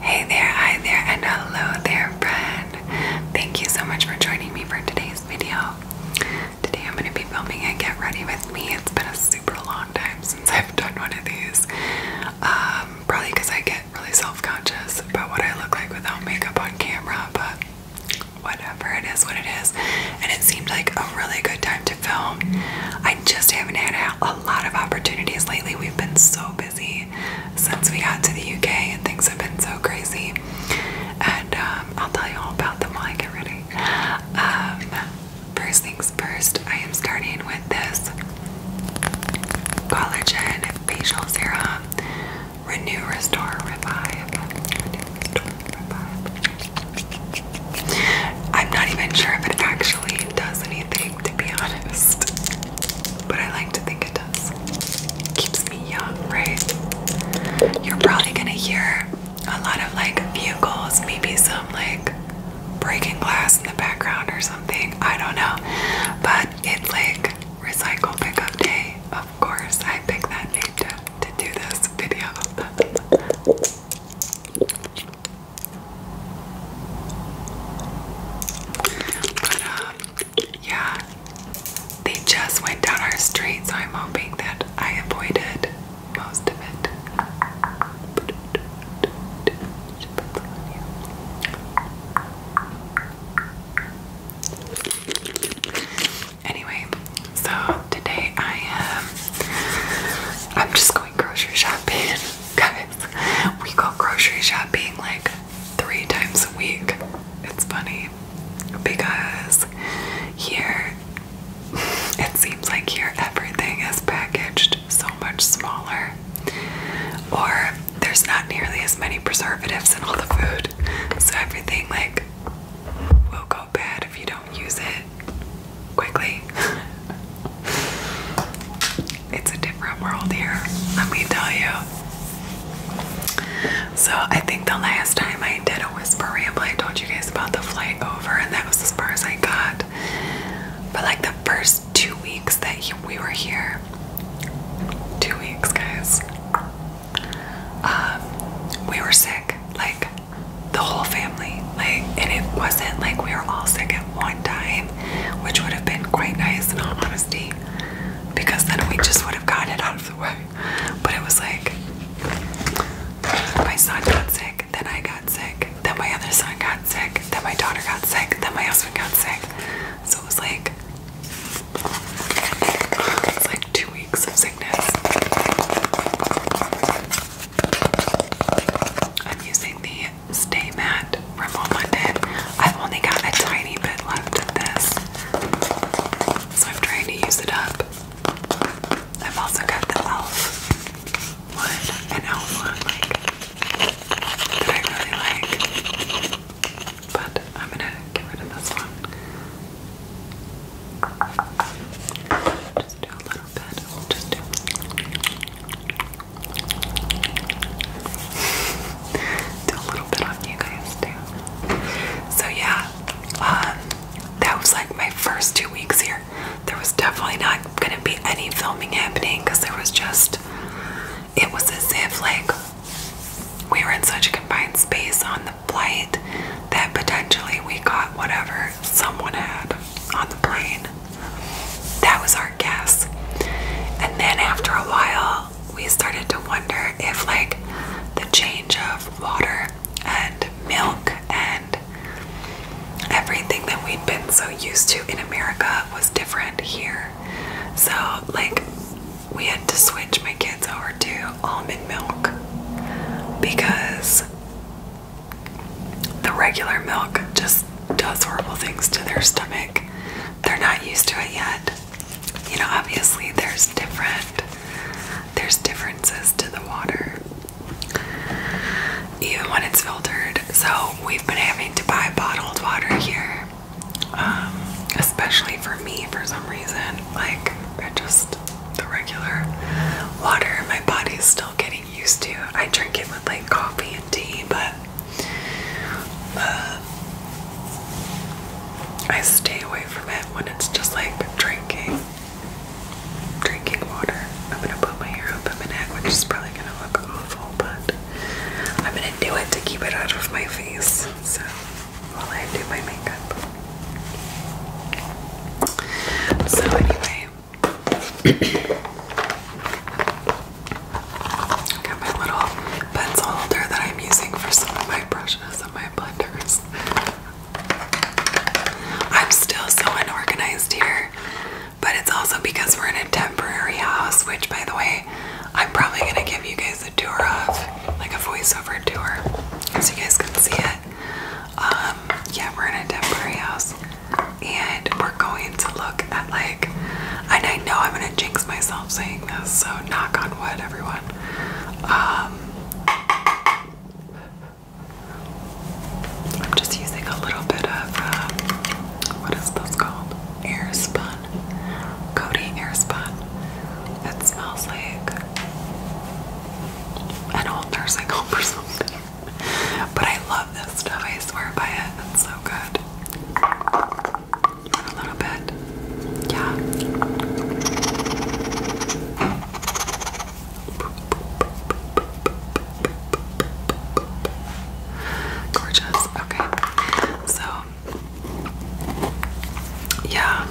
Hey there, hi there, and hello there, friend. Thank you so much for joining me for today's video. Today I'm going to be filming a Get Ready With Me. It's been a super long time since I've done one of these. Um, probably because I get really self-conscious about what I look like without makeup on camera, but whatever it is what it is and it seemed like a really good time to film i just haven't had a lot of opportunities lately we've been so busy since we got to the uk and things have been so crazy and um, i'll tell you all about them while i get ready um, first things first i am starting with this collagen facial serum Renew, restore, revive. I'm not even sure if it actually does anything, to be honest. But I like to think it does. Keeps me young, right? You're probably gonna hear a lot of like vehicles, maybe some like breaking glass in the background or something. I don't know. But it's like recycle pickup day. Of course, I pick that name too to do this video. But um, yeah, they just went down our street, so I'm hoping that I avoided most of it. Anyway, so today I am. I'm just going grocery shopping, guys. We go grocery shopping like three times a week. It's funny because here it seems like here everything is packaged so much smaller, or there's not nearly as many preservatives in all the food, so everything like will go bad if you don't use it quickly. it's a different world here, let me tell you. So, I think the last time I did a whisper ramble, I told you guys about the flight over, and that was as far as I got. But, like, the first two weeks that we were here, two weeks, guys, um, we were sick, like the whole family, like, and it wasn't like we were all sick at one time, which would have been quite nice in all honesty, because then we just would have gotten it out of the way. But it was like my son got sick, then I got sick, then my other son got sick, then my daughter got sick, then my husband got sick. So it was like, it was like I'm using the Stay Matte from Home I've only got a tiny bit left of this, so I'm trying to use it up. I've also got the e.l.f. one, an elf one, like, that I really like. But I'm gonna get rid of this one. Just do a little bit. Just do. a little bit on you guys So yeah, um, that was like my first two weeks here. There was definitely not gonna be any filming happening because there was just. It was as if like we were in such a confined space on the flight that potentially we got whatever someone had on the plane. That was our guess. And then after a while, we started to wonder if, like, the change of water and milk and everything that we'd been so used to in America was different here. So, like, we had to switch my kids over to almond milk because the regular milk just does horrible things to their stomach. They're not used to it yet. You know, obviously there's different there's differences to the water even when it's filtered. So we've been having to buy bottled water here. Um, especially for me for some reason. Like just the regular water. My body's still getting used to. I drink it with like coffee and tea, but uh, I stay away from it when it's just like drinking, drinking water. I'm gonna put my hair up a minute, which is probably gonna look awful, but I'm gonna do it to keep it out of my face. So while I do my makeup. So anyway, got my little pencil holder that I'm using for some of my brushes and my blenders. I'm still so unorganized here, but it's also because we're in a temporary house, which by the way, I'm probably gonna give you guys a tour of like a voiceover to her, so you guys can see it. Um, yeah, we're in a temporary house, and we're going to look at like, I know I'm gonna jinx myself saying this, so knock on wood, everyone. Um, I'm just using a little bit of um, what is this called? Airspun, Cody Airspun it smells like an old nursing home or something. But I love this stuff, I swear by it. It's so good. A little bit. Yeah. Gorgeous. Okay. So yeah.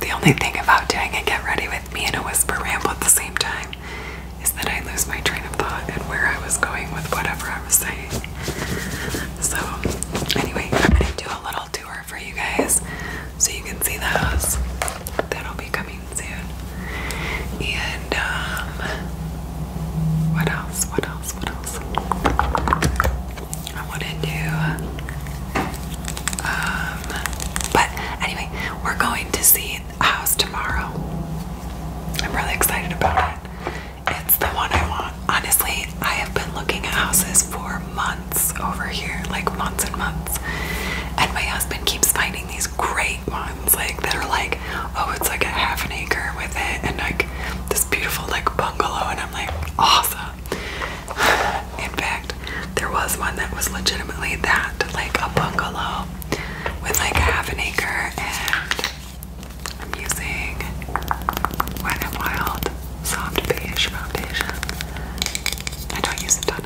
The only thing about doing a get ready with me and a whisper ramble at the same time is that I lose my train of thought and where I was going with whatever I was saying. So, anyway, I'm gonna do a little tour for you guys so you can see the That'll be coming soon. And, um, what else? What else? What else? I want to do. Um, but anyway, we're going to see the house tomorrow. I'm really excited about it. It's the one I want. Honestly, I have been looking at houses for months over here, like months and months. And my husband keeps finding these great ones, like that are like, oh, it's like a half an acre with it, and like this beautiful like bungalow and I'm like awesome. In fact, there was one that was legitimately that like a bungalow with like half an acre and I'm using Wet n Wild Soft Beige Foundation. I don't use a ton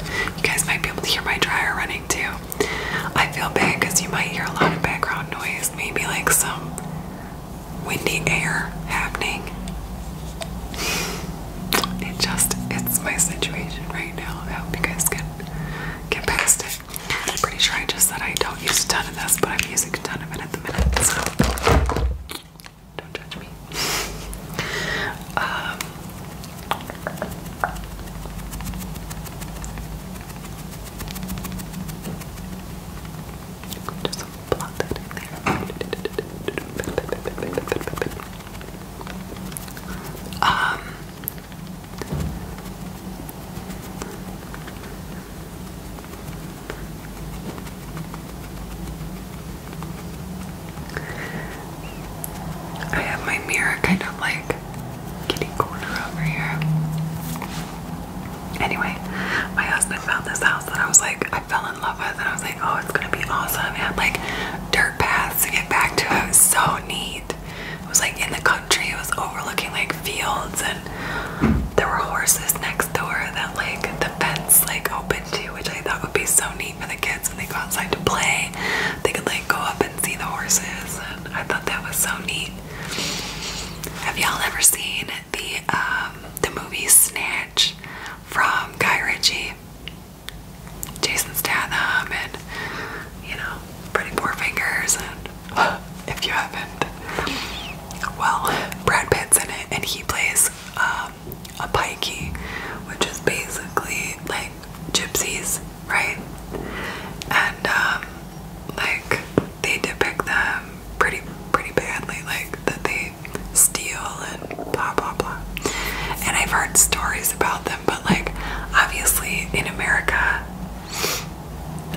but you guys might be able to hear my dryer running too. I feel bad because you might hear a lot of background noise, maybe like some windy air happening. It just, it's my situation right now. I hope you guys can get past it. I'm pretty sure I just said I don't use a ton of this, but I'm using a ton of it at the minute, so don't judge me. Um, just plot that there. Um, I have my mirror kind of like kitty corner over here. Anyway, my husband found this house and I was like, I fell in love with, and I was like, oh, it's gonna be awesome. It had like dirt paths to get back to. It was so neat. It was like in the country, it was overlooking like fields, and there were horses next door that like the fence like opened to, which I thought would be so neat for the kids when they go outside to play they could like go up and see the horses and I thought that was so neat. Have y'all ever seen the um, the movie Snatch from Guy Ritchie? Jason Statham and you know, pretty poor fingers and if you haven't well, Brad Pitt's in it and he plays um, a pikey, which is basically like gypsies, right? And um, like they depict them pretty pretty badly, like that they steal and blah blah blah. And I've heard stories about them, but like obviously in America,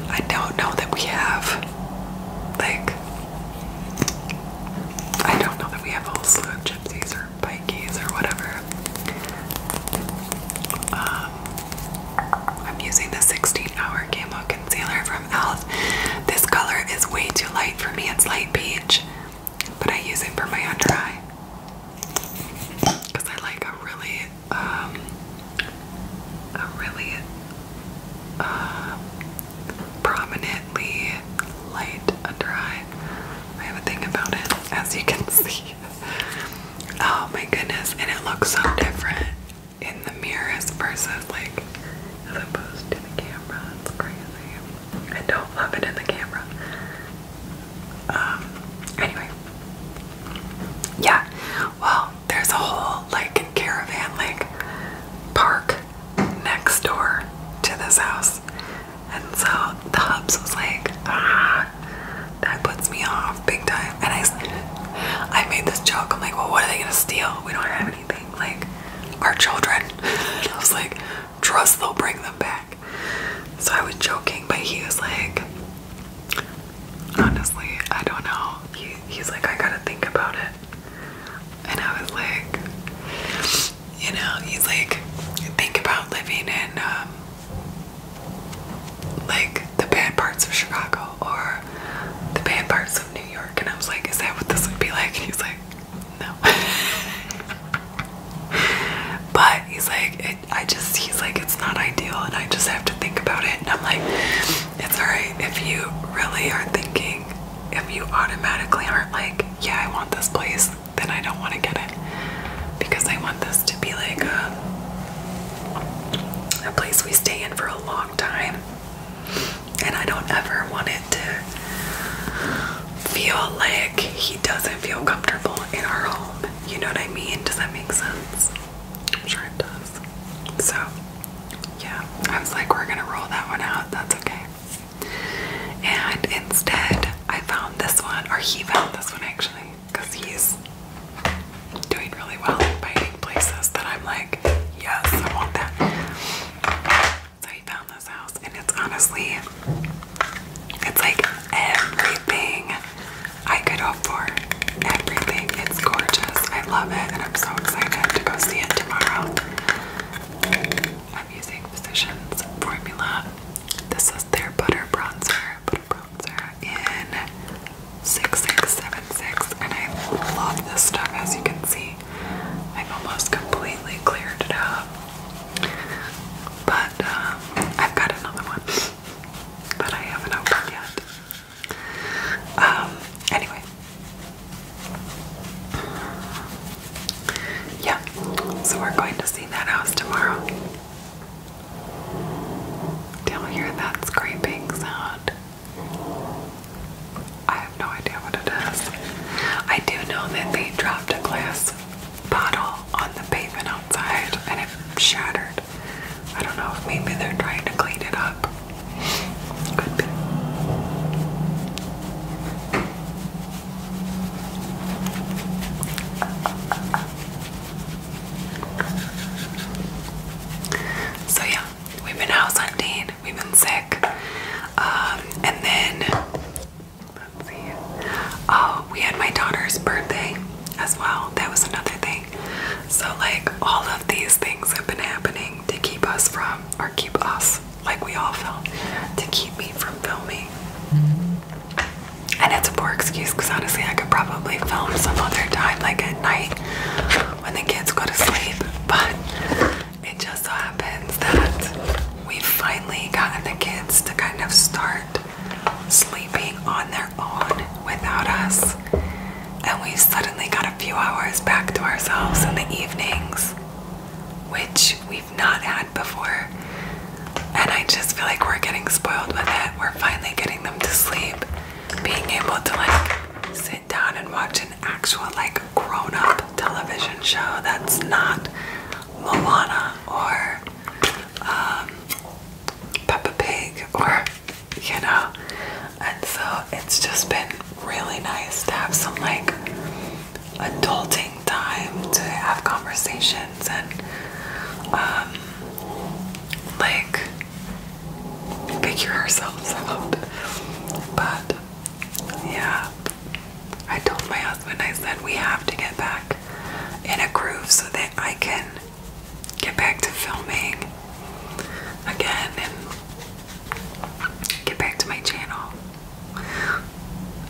I don't know that we have like I don't know that we have a gypsies or bikies or whatever. Um, I'm using the 16 Hour Camo Concealer from e.l.f. This color is way too light for me, it's light peach, but I use it for my under eye because I like a really, um, a really uh, prominently light under eye. I have a thing about it, as you can see. Oh my goodness, and it looks so different in the mirrors versus like as opposed to the camera. It's crazy. I don't love it in the camera. Um anyway. Yeah. Well, there's a whole like caravan like park next door to this house. And so the hubs was like, ah that puts me off big time. And I, I made this joke. I'm like, well, what are they gonna steal? We don't have anything. Like, our children. And I was like, trust they'll bring them back. So I was joking, but he was like, honestly, I don't know. he's like, I gotta think about it. And I was like, you know, he's like, think about living in um, like the bad parts of Chicago or the bad parts of New York. And I was like, is that what this would be like? And he's like, no. but he's like, I just, he's like, it's not ideal and I just have to think about it. And I'm like, it's all right if you really are thinking, if you automatically aren't like, yeah, I want this place, then I don't want to get it. Because I want this to be like a place we stay in for a long time. And I don't ever want it to feel like he doesn't feel comfortable in our home. You know what I mean? Does that make sense? I'm sure it does. So, yeah, I was like, we're gonna roll that one out. That's okay. And instead, I found this one, or he found this one actually because he's doing really well in finding places that I'm like, yes, I want that. So he found this house, and it's honestly, it's like everything I could hope for. Everything. It's gorgeous. I love it, and I'm so excited to go see it tomorrow. I'm using Physicians Formula. This is their butter bronzer, bronzer in 6676, and I love this stuff as you can see. I've almost completely cleared it up. But um, I've got another one that I haven't opened yet. Um, anyway. Yeah, so we're going to see that house tomorrow. Do you hear that scraping sound? I have no idea what it is. I do know that they dropped a glass bottle on the pavement outside and it shattered. I don't know if maybe they're trying to clean it up. Could be. So yeah, we've been house hunting, we've been sick, um, and then let's see. Oh, we had my daughter's birthday as well. That was another thing. So like all of these things have been happening to keep us from, or keep us, like we all felt, to keep me from filming. And it's a poor excuse because honestly, I could probably film some other time, like at night when the kids go to sleep. But it just so happens that we've finally gotten the kids to kind of start sleeping on their own without us. And we've suddenly got a few hours back to ourselves in the evenings, which we've not had before. And I just feel like we're getting spoiled with it. We're finally getting them to sleep. Being able to like sit down and watch an actual like grown up television show that's not Moana or um, Peppa Pig or you know. And so it's just been really nice to have some like adulting time to have conversation and um, like figure ourselves out. But yeah, I told my husband, I said, we have to get back in a groove so that I can get back to filming again and get back to my channel.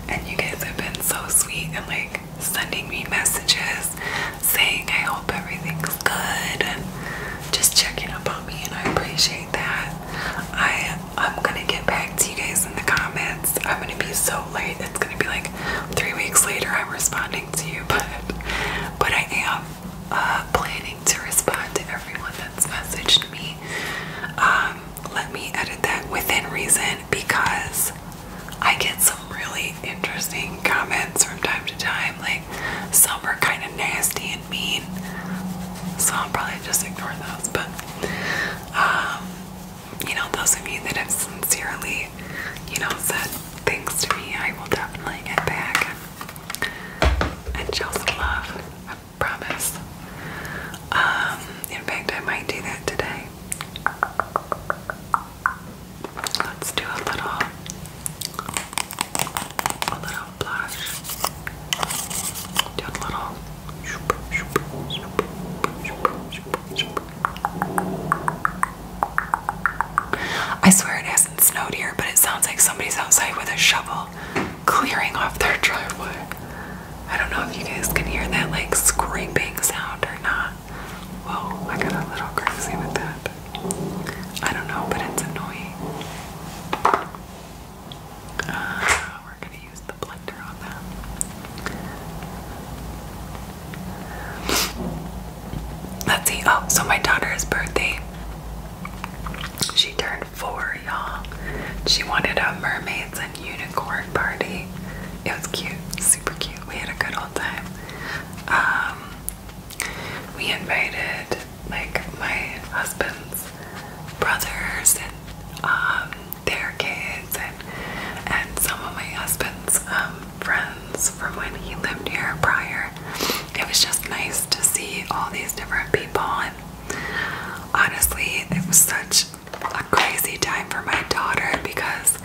And you guys have been so sweet and like sending me messages saying I hope everything's good and just checking up on me and I appreciate that. I I'm gonna get back to you guys in the comments. I'm gonna be so late. It's gonna be like three weeks later I'm responding to you, but but I am uh, planning to respond to everyone that's messaged me. Um, let me edit that within reason because I get some really interesting comments from time to time. Like, some are kind of nasty and mean, so I'll probably just ignore those. But, um, you know, those of you that have sincerely, you know, said things to me, I will definitely get back and show some love. I promise. Um, in fact, I might do that today. Let's do a little, a little blush. Do a little. I swear it hasn't snowed here, but it sounds like somebody's outside with a shovel clearing off their driveway. I don't know if you guys can hear that like scraping sound or not. Whoa, I got a little crazy with that. I don't know, but it's annoying. Ah, we're gonna use the blender on that. Let's see. Oh, so my daughter's birthday. She turned four, y'all. She wanted a mermaids and unicorn party. It was cute, super cute. We had a good old time. Um, we invited like my husband's brothers and um, their kids and and some of my husband's um, friends from when he lived here prior. It was just nice to see all these different people and honestly it was such a crazy time for my daughter because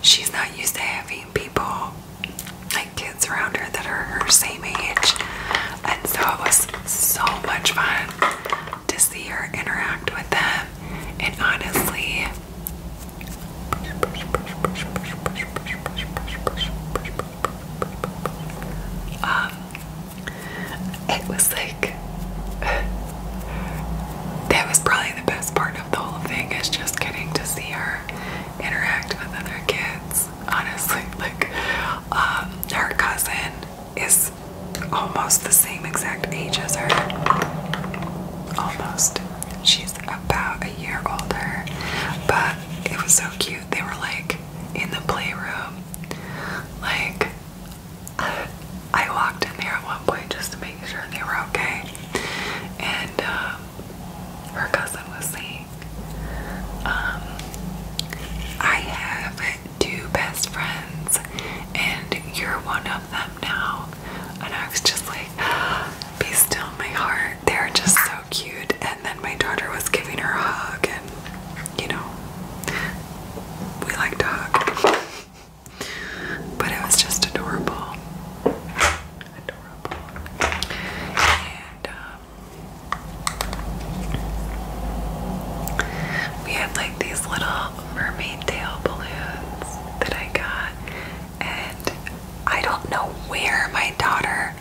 she's not used to having people like kids around her that are her same age. And so it was so much fun to see her interact with them. And honestly, um, it was like that was probably the best part of the whole thing is just getting to see her interact with other kids. Honestly, like um, her cousin is almost the same exact age as her. Almost. She's about a year older. But it was so cute. They were like in the playroom. Like I walked in there at one point just to make sure they were okay. And uh, her cousin was saying, um, I have two best friends, and you're one of them now. And I was just like, be still, my heart. They're just so cute. And then my daughter was giving her a hug, and you know, we like to hug. But it was just adorable. Adorable. Um, we had like these little mermaid tail balloons that I got. And I don't know where my daughter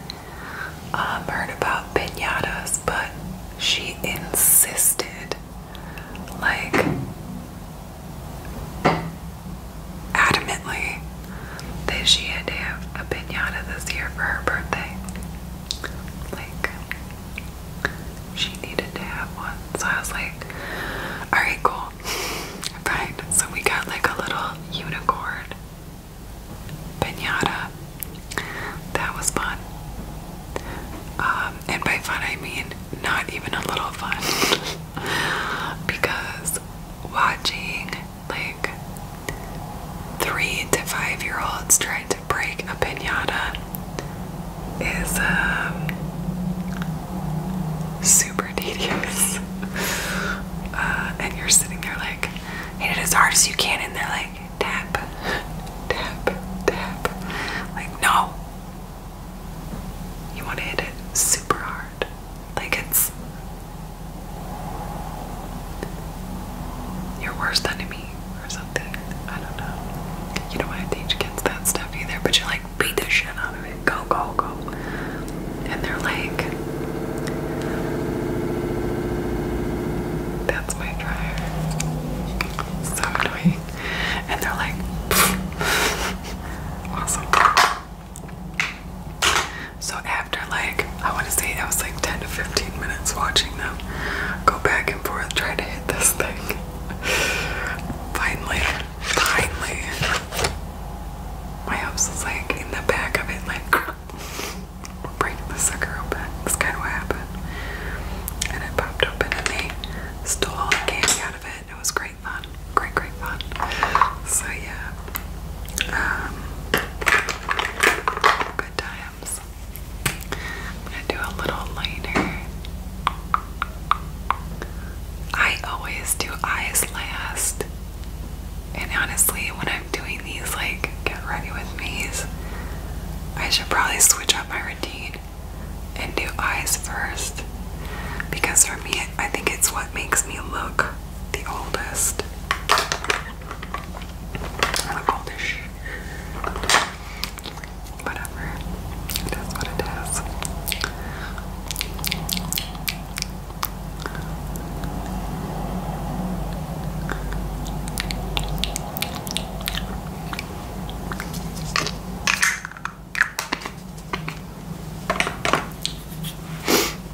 um, heard about pinatas, but she insisted like adamantly that she had to have a pinata this year for her birthday. Like, she needed to have one. So I was like, alright, cool. Fine. So we got like a little unicorn pinata. That was fun. Um, and by fun, I mean not even a little fun because watching like three to five year olds trying to break a pinata is um, super tedious. Uh, and you're sitting there like, hit it as hard as you can, and they're like, tap, tap, tap. Like, no, you want to hit it super hard. Like it's your worst enemy or something. I don't know. You don't want to teach kids that stuff either, but you're like, beat the shit out of it. Go, go, go. And they're like, that's my dryer. So annoying. And they're like, awesome. So after like I want to say that was like 10 to 15 minutes watching them go back and forth trying to hit this thing. finally, finally, my house was like in the back of it, like we're breaking the sucker open. That's kind of what happened. And it popped open and they stole all the candy out of it and it was great fun. Great, great fun. So yeah. Um, good times. I'm gonna do a little liner. I always do eyes last. And honestly, when I'm doing these, like, get ready with me's, I should probably switch up my routine and do eyes first because for me, I think it's what makes me look the oldest. I look oldish. Whatever. It is what it is.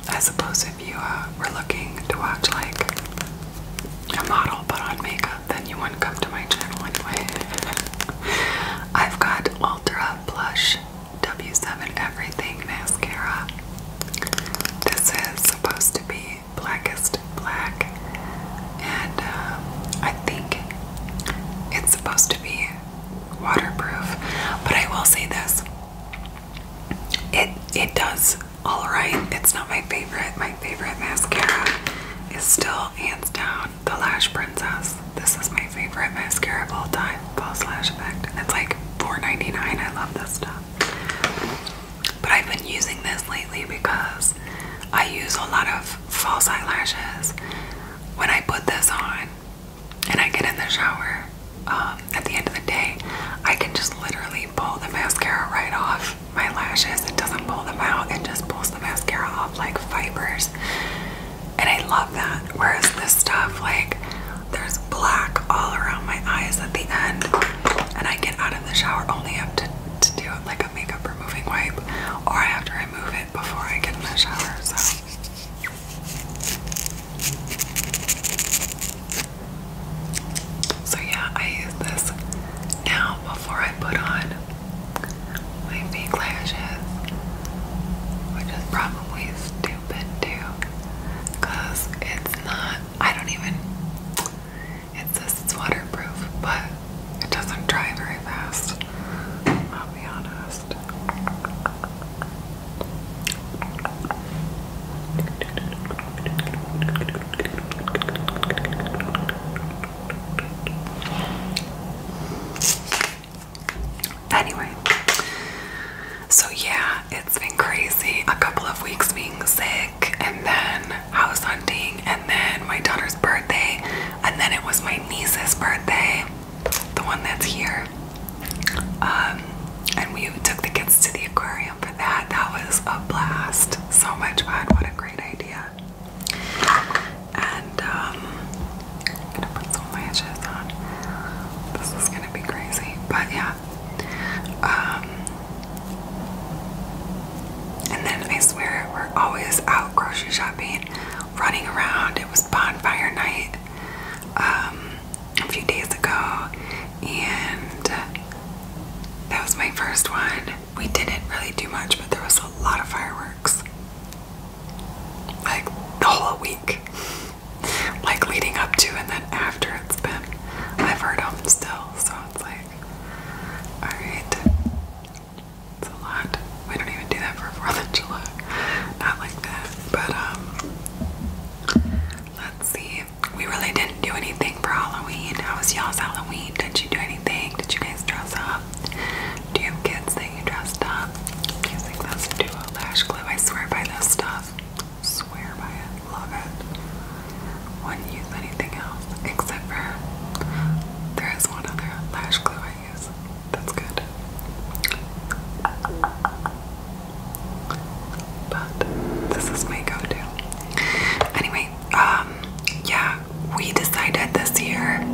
I suppose if you uh, were looking to watch like a model put on makeup, then you wouldn't come to my channel anyway. I've got Ultra Blush W7 Everything Mascara. This is supposed to be blackest black and uh, I think it's supposed to be waterproof. But I will say this: it it does all right. It's not my favorite. My favorite mascara is still hands down the Lash Princess. This is my favorite mascara of all time, False Lash Effect. It's like $4.99. I love this stuff. But I've been using this lately because I use a lot of false eyelashes when I put this on and I get in the shower um, at the end of the day, I can just literally pull the mascara right off my lashes. It doesn't pull them out, it just pulls the mascara off like fibers. And I love that. Whereas this stuff, like, there's black all around my eyes at the end, and I get out of the shower only have to, to do like a makeup removing wipe, or I have to remove it before I get in the shower, so. So, yeah, I use this now before I put on my fake lashes, which is probably stupid too, because it's not, I don't even, it says it's waterproof, but it doesn't dry very fast. I'll be honest. Anyway, so yeah, it's been crazy. A couple of weeks being sick, and then house hunting, and then my daughter's birthday, and then it was my niece's birthday, the one that's here. Um, and we took the kids to the aquarium for that. That was a blast. So much fun. What a great idea. And um, I'm gonna put some lashes on. This is gonna be crazy, but yeah. Um, and then I swear we're always out grocery shopping running around. It was bonfire night um, a few days ago, and that was my first one. We didn't really do much, but there was a lot of fireworks like the whole week, like leading up to, and then after it's been. I've heard them still, so it's like, alright. It's a lot. We don't even do that for 4th of July. Not like that. But, um, let's see. We really didn't do anything for Halloween. How was y'all's Halloween? Did you do anything? Did you guys dress up? Do you have kids that you dressed up? i using this duo lash glue. I swear by this stuff. Swear by it. Love it. Wouldn't use anything else except for there is one other lash glue I that's good. But this is my go-to. Anyway, um, yeah, we decided this year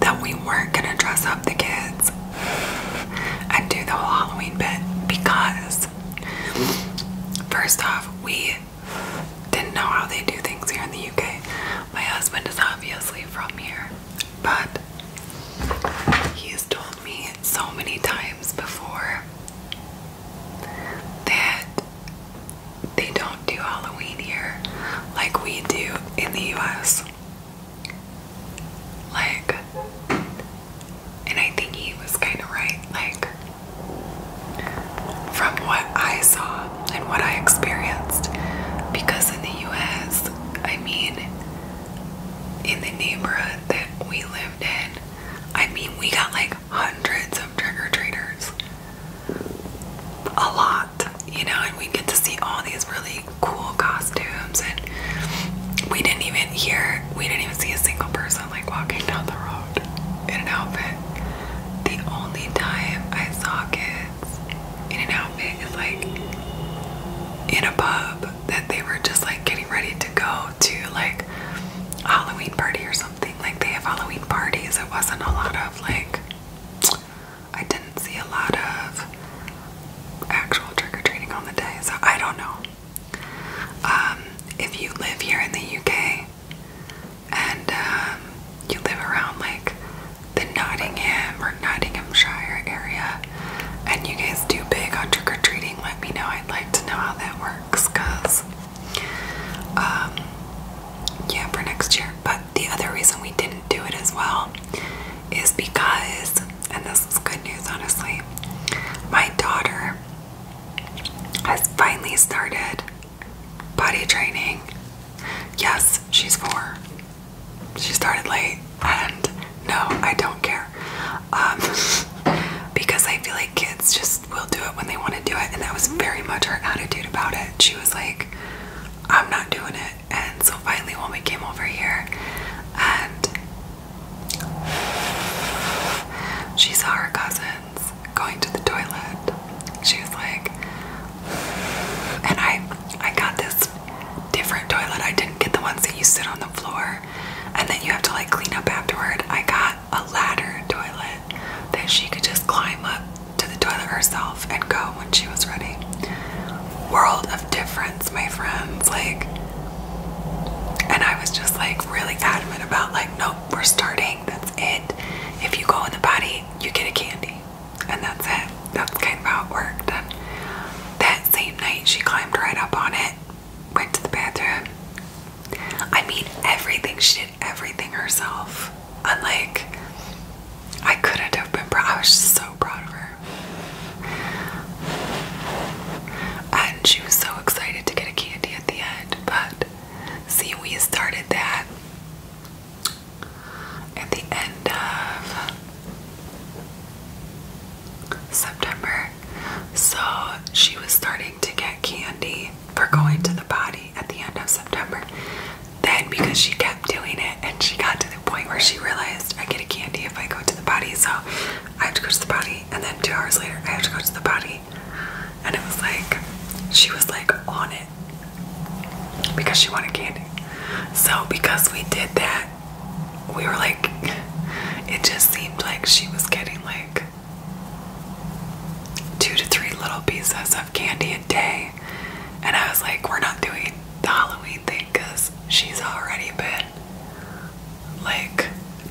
that we weren't gonna dress up the kids and do the whole Halloween bit because first off, we didn't know how they do things here in the UK. My husband is obviously from here, but he has told me so many times before that they don't do Halloween here like we do in the US. Like, and I think he was kind of right. Like, from what I saw, and what I experienced. Because in the US, I mean, in the neighborhood that we lived in, I mean, we got like hundreds of trick or treaters. A lot, you know, and we get to see all these really cool costumes, and we didn't even hear, we didn't even see a single person like walking down the road in an outfit. The only time I saw kids outfits in an outfit is like in a pub that they were just like getting ready to go to like a Halloween party or something. Like they have Halloween parties. It wasn't a lot of like I didn't see a lot of actual trick-or-treating on the day, so I don't know. Um, if you live here in the UK, and um, you live around like the Nottingham or Nottinghamshire area, and you guys do big on trick or treating, let me know. I'd like to know how that works, cause um, yeah, for next year. But the other reason we didn't do it as well is because, and this is good news, honestly, my daughter has finally started Body training. Yes, she's four. She started late, and no, I don't care. Um, because I feel like kids just will do it when they want to do it, and that was very much her attitude about it. She was like, I'm not doing it. And so finally, when we came over here, and she saw her cousins going to the toilet, she was like, and I I got this different toilet. I didn't get the ones that you sit on the floor and then you have to like clean up afterward. I got a ladder toilet that she could just climb up to the toilet herself and go when she was ready. World of difference, my friends. Like and I was just like really adamant about like nope, we're starting. That's it. If you go in the body, you get a candy and that's it. That's kind of how it worked. And that same night, she climbed right up on it, went to the bathroom. I mean, everything. She did everything herself. And I couldn't have been proud. I was just so proud of her. And she was so excited to get a candy at the end. But see, we started that at the end of September. So she was starting to get candy for going to the potty at the end of September. Then, because she kept doing it, and she got to the point where she realized I get a candy if I go to the potty, so I have to go to the potty. And then two hours later, I have to go to the potty. And it was like, she was like on it because she wanted candy. So because we did that, we were like, it just seemed like she was getting like two to three little pieces of candy a day. And I was like, we're not doing the Halloween thing because she's already been like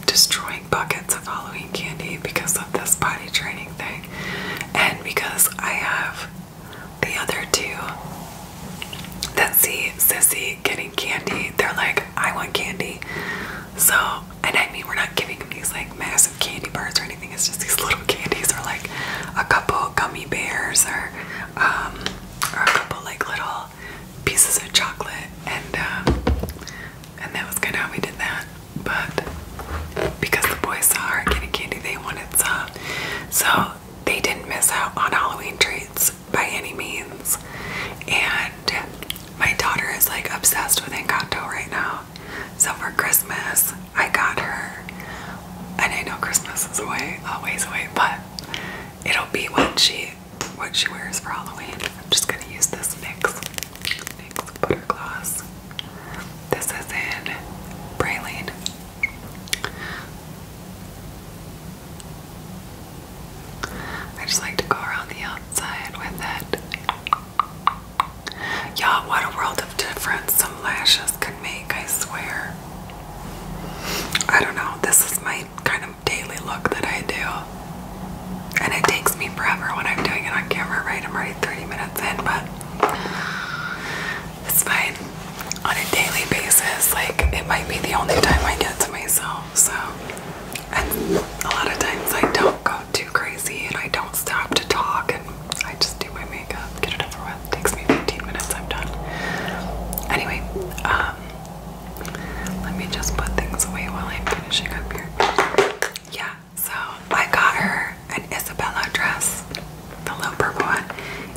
destroying buckets of Halloween candy because of this body training thing. And because I have the other two that see Sissy getting candy, they're like, I want candy. So, and I mean, we're not giving them these like massive candy bars or anything, it's just these little candies or like a couple gummy bears or, um, a couple like little pieces of chocolate. And, um, and that was kind of how we did that but because the boys saw her getting candy, they wanted some. So they didn't miss out on Halloween treats by any means. And my daughter is like obsessed with Encanto right now. So for Christmas, I got her. And I know Christmas is away, always away, but it'll be what she what she wears for Halloween. I'm just gonna use this mix. Butter Gloss. This is in Praline. I just like to go around the outside with it. Yeah, what a world of difference some lashes can make, I swear. I don't know, this is my kind of daily look that I do. And it takes me forever when I'm doing it on camera, right? I'm already 30 minutes in, but it's fine. On a daily basis, like it might be the only time I get to myself, so and a lot of times I don't go too crazy and I don't stop to talk and I just do my makeup, get it over with. It takes me 15 minutes, I'm done. Anyway, um let me just put things away while I'm finishing up here. Yeah, so I got her an Isabella dress, the little purple one,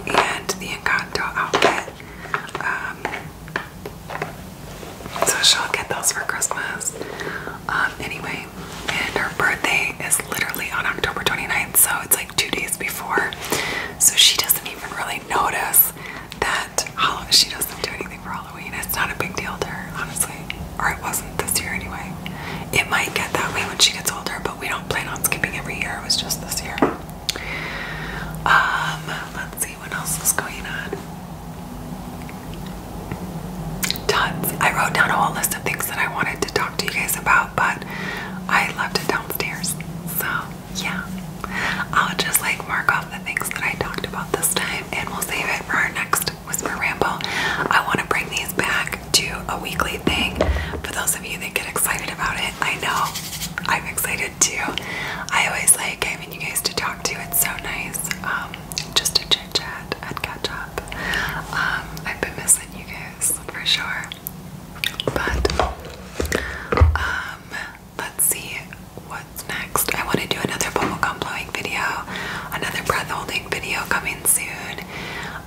and the Encanto outfit. Um, so she'll get those for Christmas. Um, anyway, and her birthday is literally on October 29th, so it's like two days before. So she doesn't even really notice that she doesn't do anything for Halloween. It's not a big deal to her, honestly or it wasn't this year anyway. It might get that way when she gets older, but we don't plan on skipping every year. It was just this year. Um, let's see what else is going on. Tons. I wrote down a whole list of things that I wanted to talk to you guys about, but I left it downstairs. So, yeah. I'll just like mark off the things that I talked about this time and we'll save it for our next podcast, Whisper Ramble. I want to bring these back to a weekly thing for those of you that get excited about it. I know I'm excited too. I always like having you guys to talk to. It's so nice um, just to chit chat and catch up. Um, I've been missing you guys for sure. But um, let's see what's next. I want to do another bubble gum blowing video, another breath holding video coming soon.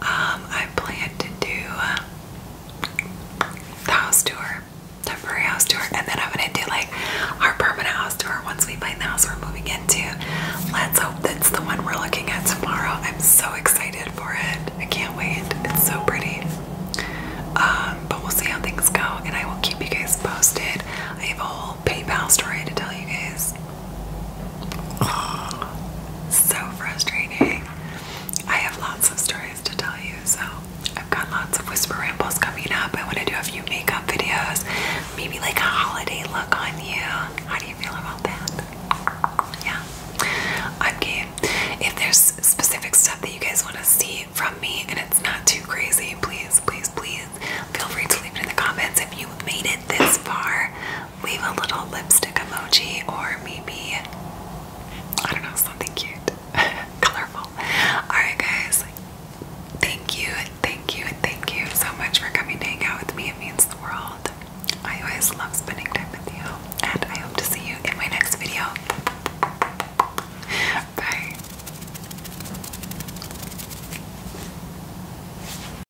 Um, I plan to do the house tour, temporary house tour, and then I'm gonna do like our permanent house tour once we find the house we're moving into. Let's hope that's the one we're looking at tomorrow. I'm so excited for it. I can't wait. It's so pretty. Um, but we'll see how things go, and I will keep you guys posted. I have a whole PayPal story to tell you guys. so frustrating. I have lots of stories to tell you, so I've got lots of whisper rambles coming up. I want to do a few makeup videos, maybe like a holiday look on you. How do you feel about that? Yeah, I'm game. If there's specific stuff that you guys want to see from me and it's not too crazy, please, please, please feel free to leave it in the comments. If you made it this far, leave a little lipstick emoji or maybe, I don't know, something cute, colorful. Alright, guys, thank you, thank you, thank you so much for coming to hang out with me. It means the world. I always love spending time with you, and I hope to see you in my next video. Bye.